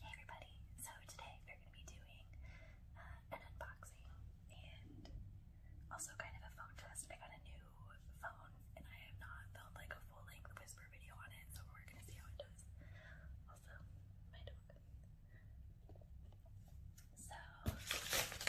Hey everybody, so today we're going to be doing uh, an unboxing and also kind of a phone test. I got a new phone and I have not filmed like a full length whisper video on it, so we're going to see how it does. Also, my dog. So, first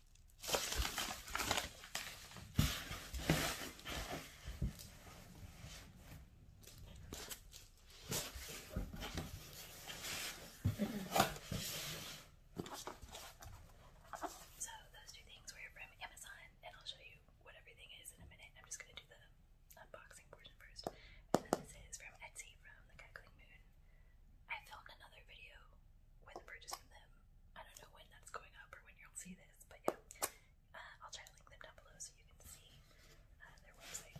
So those two things were from Amazon, and I'll show you what everything is in a minute. I'm just gonna do the unboxing portion first. And then this is from Etsy from the Cackling Moon. I filmed another video with a purchase from them. I don't know when that's going up or when you'll see this is. But yeah, uh, I'll try to link them down below so you can see uh, their website.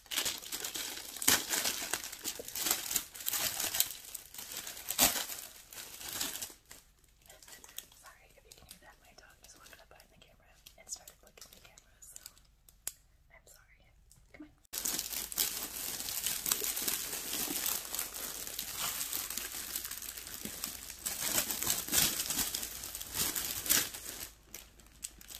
Sorry if you can hear that. My dog just walked up behind the camera and started looking at the camera, so I'm sorry. Come on.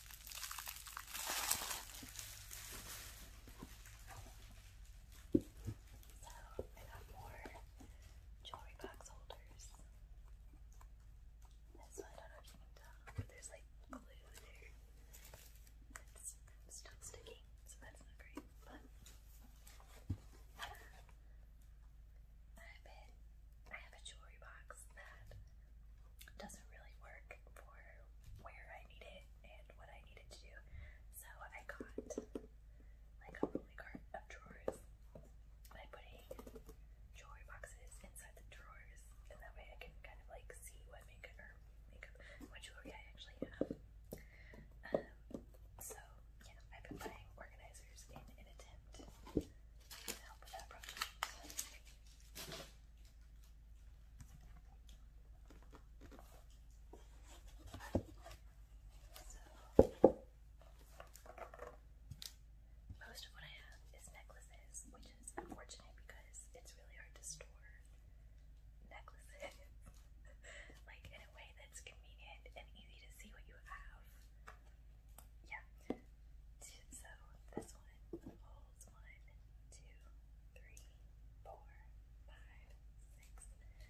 So I got more jewelry box holders. This one, I don't know if you there's like glue there. It's still sticky, so that's not great. But I've I have a jewelry box that doesn't really work for where I need it and what I needed to do. So I got like a rolling cart of drawers. By putting jewelry boxes inside the drawers, and that way I can kind of like see what makeup or makeup what jewelry I actually have. Um so yeah, I've been buying organizers in an attempt with most of what I have is necklaces, which is unfortunate because it's really hard to store necklaces like in a way that's convenient and easy to see what you have yeah. So this one holds one, two, three, four, five, six, seven,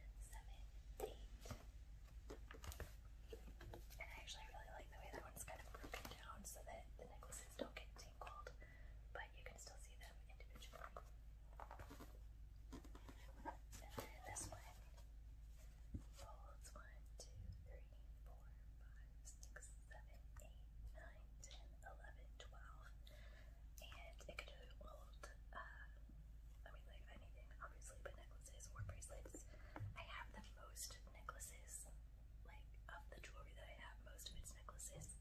eight. And I actually really like the way that one's kind of broken down so that the necklaces don't get tangled, but you can still see them individually. And then this one holds one, two, three, four, five, six, seven, eight, nine, ten, eleven, twelve. And it could do old, uh, I mean, like anything, obviously, but necklaces or bracelets. I have the most necklaces, like, of the jewelry that I have, most of it's necklaces.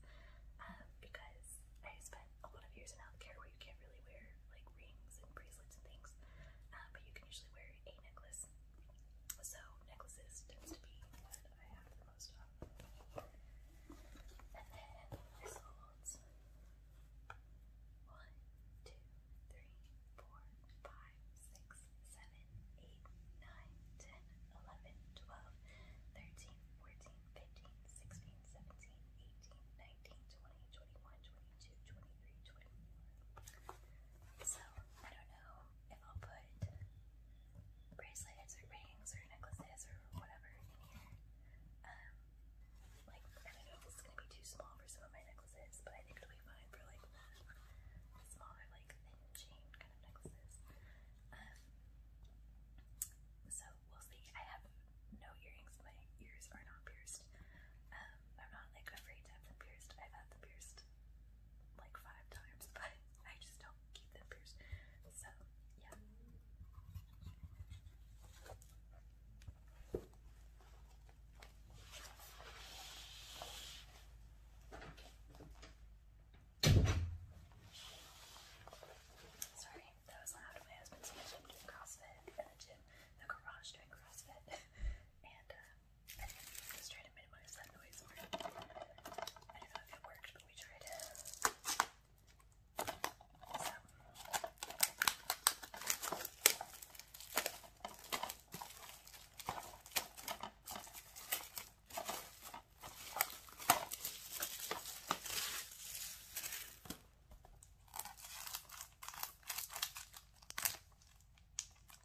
Um, because I spent a lot of years in healthcare where you can't really wear, like, rings and bracelets and things. Uh, but you can usually wear a necklace necklace. So necklaces tends to be what I have the most of. And then this one, two, three, four, five, six, seven, eight, nine, ten, eleven, twelve, thirteen, fourteen, fifteen, sixteen, seventeen, eighteen, nineteen, twenty, twenty-one, twenty-two, twenty-three, twenty-four. So I don't know if I'll put bracelets or rings or necklaces or whatever in here. Um, like, I do gonna be too small for some of my necklaces, but I think it'll be fine for like smaller, like thin chain kind of necklaces. Um, so we'll see. I have no earrings. My ears are not pierced. Um, I'm not like afraid to have I've had them pierced like five times, but I just don't keep them pierced. So, yeah. Sorry, that was loud. My husband's doing CrossFit, in the gym, the garage doing CrossFit, and uh, Let's try to minimize that noise more. I don't know if it worked, but we tried it. So. I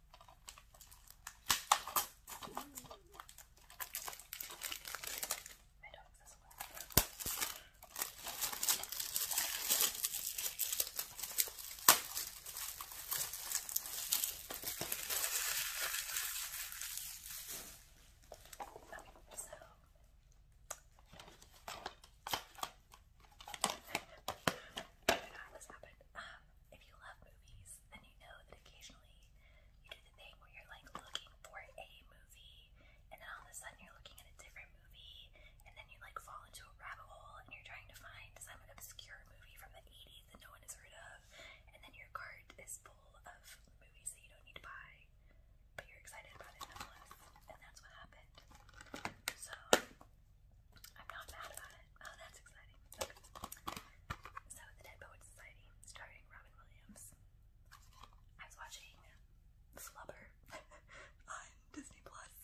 My dog's as well. Okay, so I don't know how this happened. Um, um, if you love movies, then you know that occasionally you do the thing where you're like looking for a movie, and then all of a sudden you're looking at a different movie, and then you like fall into a rabbit hole and you're trying to find some obscure movie from the 80s that no one has heard of, and then your cart is full of movies that you don't need to buy, but you're excited about it nonetheless, and that's what happened. So, I'm not mad about it. Oh, that's exciting. Okay. So, the Dead Poets Society, starring Robin Williams. I was watching Flubber on Disney Plus,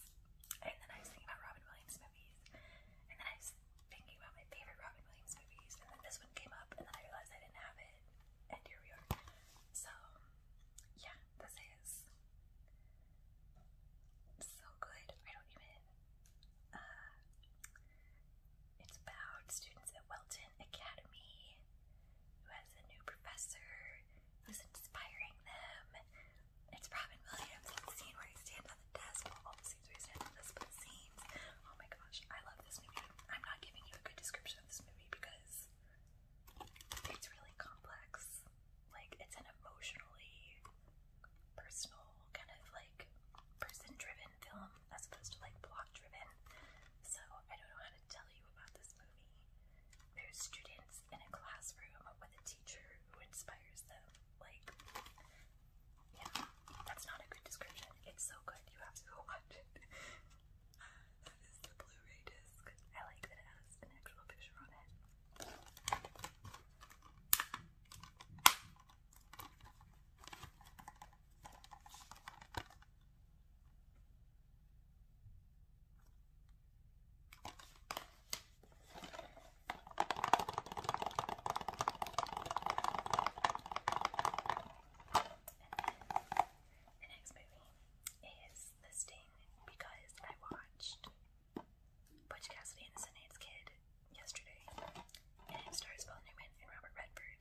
and then I was thinking about Robin Williams movies, and then I was thinking about my favorite Robin Williams movies, and then this one came up, and then I realized I didn't have it, and here we are. So, yeah, this is so good. I don't even uh, it's about students at Welton Academy who has a new professor who's inspiring them. It's Robin Williams. It's the scene where he stands on the desk. Well, all the where he stands on the desk, Oh my gosh, I love this movie. I'm not giving you a good description of this movie because it's really complex like it's an emotionally personal kind of like person driven film as opposed to like plot driven. So I don't know how to tell you about this movie. There's students in a classroom with a teacher who inspires them. Like yeah, that's not a good description. It's so good you have to go watch it. Uh, that is the Blu-ray disc. I like that it has an actual picture on it. The next movie is The Sting because I watched Butch Cassidy and the Sundance Kid yesterday, and it stars Paul Newman and Robert Redford.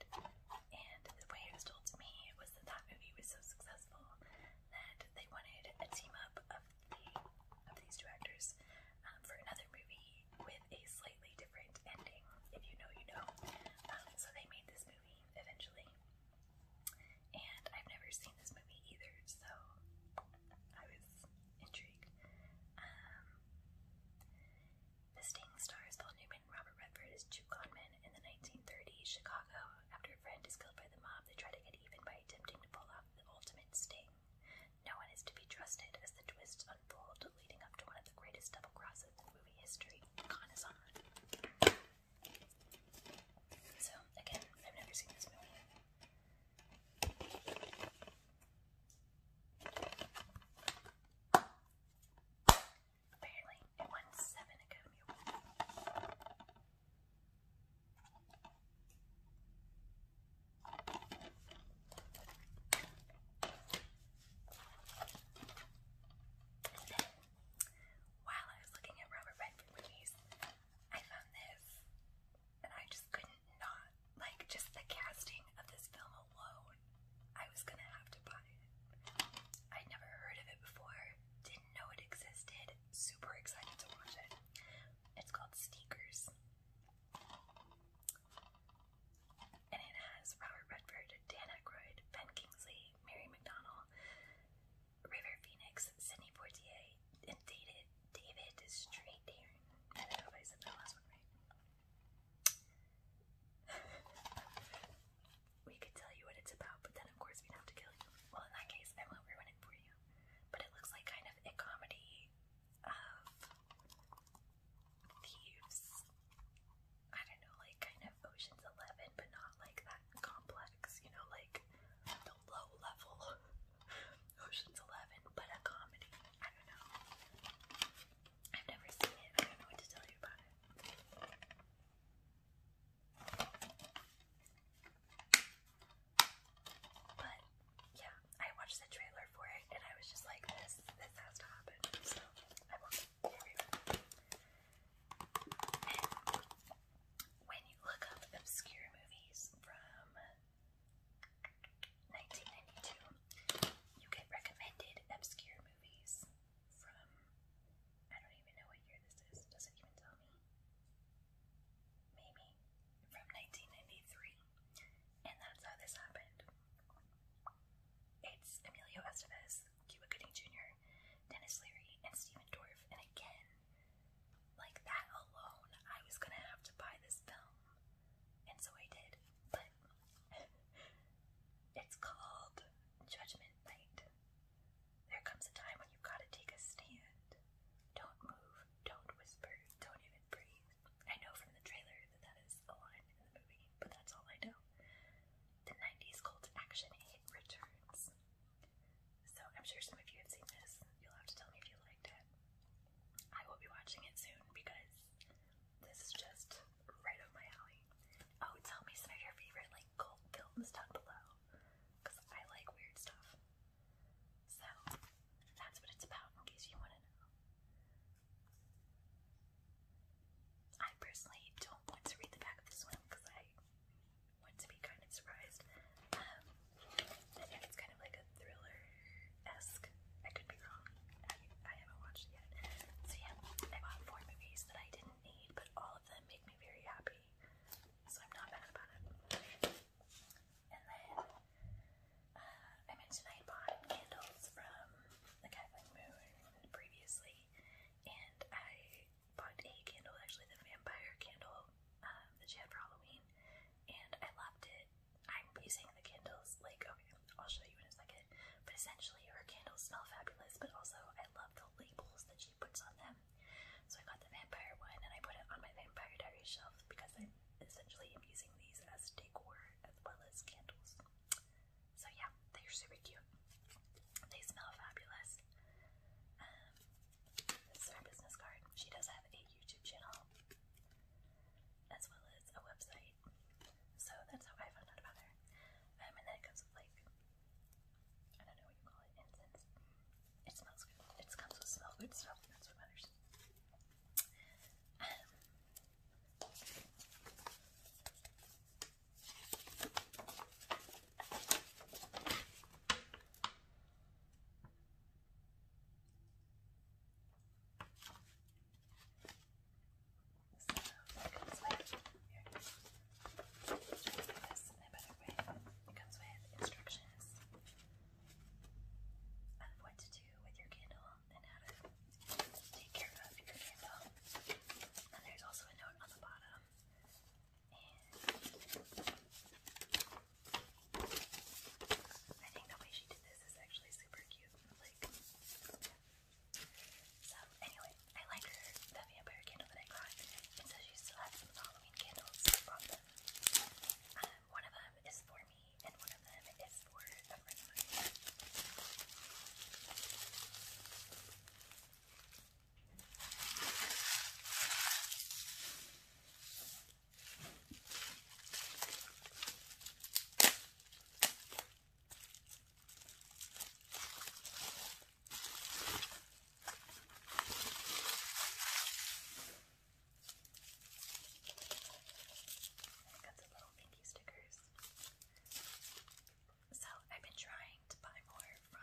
And the way it was told to me was that that movie was so successful that they wanted a team up of the of these two actors um, for another movie with a slightly different ending. If you know, you know. Um, so they made this movie eventually, and I've never seen this movie either, so. I was intrigue. Um, the Sting stars Paul Newman and Robert Redford as two conmen in the 1930s Chicago. After a friend is killed by the mob, they try to get even by attempting to pull off the ultimate sting. No one is to be trusted as the twists unfold, leading up to one of the greatest double crosses in movie history, Conazon. So, again, I've never seen this movie. Apparently, it won seven Academy while I was looking at Robert Redford movies, I found this, and I just couldn't not like just the casting of this film alone. I was gonna have to buy it. I'd never heard of it before, didn't know it existed. Super excited to watch it. It's called Sneakers. And it has Robert Redford, Dan Aykroyd, Ben Kingsley, Mary McDonnell, River Phoenix, Sidney Poitier, and dated David is straight know if I said the last one, right? we could tell you what it's about, but then of course we'd have to kill you. Well, in that case, I won't it for you. But it looks like kind of a comedy of thieves. I don't know, like kind of Ocean's Eleven, but not like that complex, you know, like low level Ocean's Eleven, but a comedy. I don't know. I've never seen it. I don't know what to tell you about But yeah, I watched the trailer for it and I was just like, this this has to happen. So I watched it. when you look up obscure movies from 1992, you get recommended obscure movies from, I don't even know what year this is, does it even tell me? Maybe, from 1993, and that's how this happened. It's Emilio Estevez, Cuba Gooding Jr., Dennis Leary, and Stephen Dorff, and again, like that alone, I was gonna have to buy this film. And so I did. But it's called Judgment Night. There comes a time when you've got to take a stand. Don't move, don't whisper, don't even breathe. I know from the trailer that that is a line in the movie, but that's all I know. The 90s cult action hit returns. So I'm sure some of you have seen this. You'll have to tell me if you liked it. I will be watching it soon because this is just right up my alley. Oh, tell me some of your favorite like cult films down below because I like weird stuff. So that's what it's about in case you want to know. I personally don't want to read the back of this one because I want to be kind of surprised. Um, I think it's kind of like a thriller-esque. I could be wrong. I, I haven't watched it yet. So yeah, I bought four movies that I didn't need, but all of them make me very happy. So I'm not mad about it. And then uh, I mentioned I bought candles from the Kathleen Moon previously, and I bought a candle, actually the vampire candle um, that she had for Halloween, and I loved it. I'm using the candles, like, okay, I'll show you in a second, but essentially her candles smell fabulous, but also I love the labels that she puts on them. So I got the vampire one and I put it on my Vampire Diary shelf because I essentially am using these as decor as well as candles. So yeah, they're super cute. They smell fabulous. Um, this is her business card. She does have a YouTube channel as well as a website. So that's how I found out about her. Um, and then it comes with like I don't know what you call it, incense. It smells good. It comes with smell good stuff. That's what matters. Um, so, it this comes with instructions on what to do with your candle and how to take care of your candle. And there's also a note on the bottom. I think the way she did this is actually super cute. Like, so anyway, I like her the vampire candle that I got, and so she still has some Halloween candles. Um, one of them is for me, and one of them is for a friend of mine got some little pinky stickers. So I've been trying to buy more from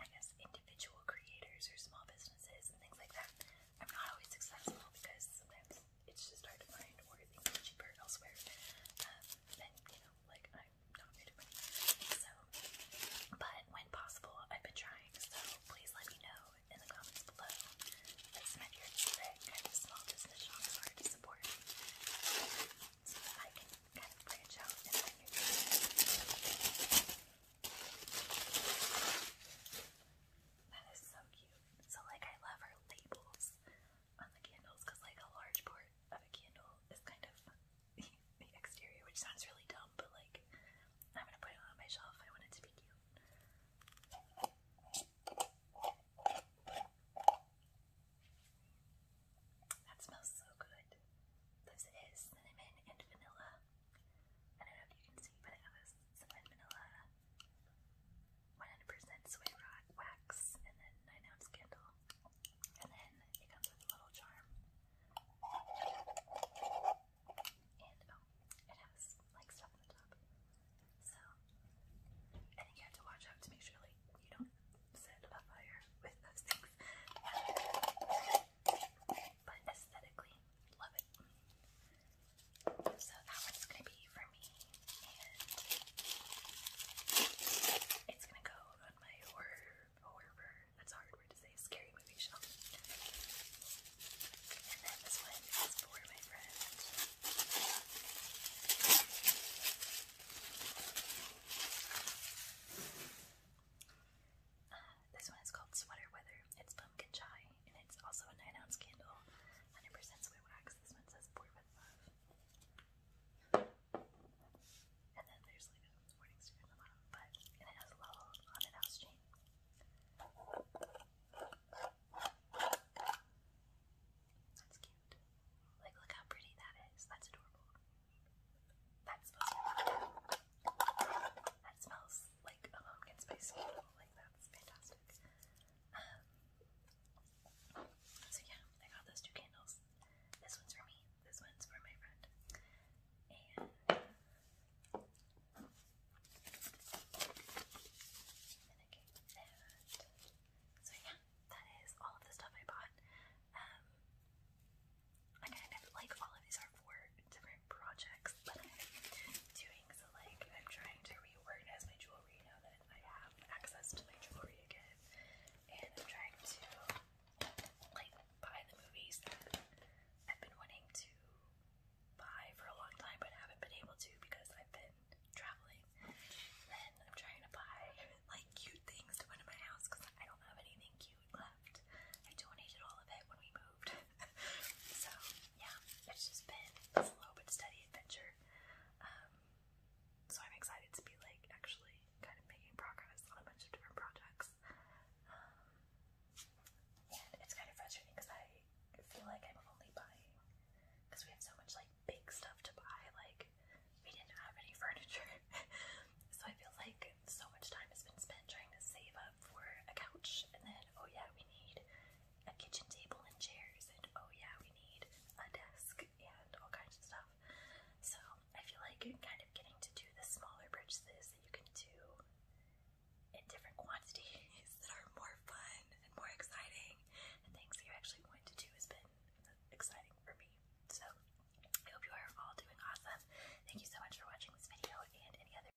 I guess individual creators or small businesses and things like that. I'm not always successful because sometimes it's just hard to find or things are cheaper elsewhere. Um, you know, like I'm not good at money. So but when possible I've been trying, so please let me know in the comments below. That's my favorite trick kind of small business shops to support. So that I can kind of branch out and find new that is so cute. So like I love her labels on the candles because like a large part of a candle is kind of the exterior, which sounds really dumb, but like I'm gonna put it on my shelf. I want it to be cute. That smells so good. This is cinnamon and vanilla. I don't know if you can see, but it has some 100% soy wax and then 9 ounce candle. And then it comes with a little charm. And oh, it has like stuff on the top. So I you have to watch out to make sure like you don't set a fire with those things. but aesthetically, love it. So that one's gonna be for me, and it's gonna go on my horror, horror, that's hard word to say, scary movie shelf. And then this one is for my friend this one is called Sweater Weather. It's pumpkin chai, and it's also a 9 ounce candle, 100% soy wax. This one says pour with love. And then there's like a warning sticker on the bottom, but and it has a little on it house chain. That's cute. Like, look how pretty that is. That's adorable. That's supposed that smells like pumpkin spice Like that's fantastic. Um, so yeah, I got those two candles. This one's for me. This one's for my friend. And so yeah, that is all of the stuff I bought. Um, like all of these are for different projects that I'm doing. So, like, I'm trying to reorganize my jewelry now that I have access to my jewelry again. And I'm trying to, like, buy the movies that I've been wanting to buy for a long time but haven't been able to because I've been traveling. And I'm trying to buy, like, cute things to put in my house because I don't have anything cute left. I donated all of it when we moved. so yeah, it's just been a slow but steady adventure. Um, so I'm excited to be like actually kind of making progress on a bunch of different projects. Um, and it's kind of frustrating because I feel like I'm only buying because we have so much like big stuff to buy. Like we didn't have any furniture, so I feel like so much time has been spent trying to save up for a couch and then oh yeah, we need a kitchen table and chairs, and oh yeah, we need a desk and all kinds of stuff. So I feel like kind of getting to do the smaller purchases that you can do in different quantities that are more fun and more exciting, and things that you actually want to do has been exciting for me. So I hope you are all doing awesome. Thank you so much for watching this video and any other.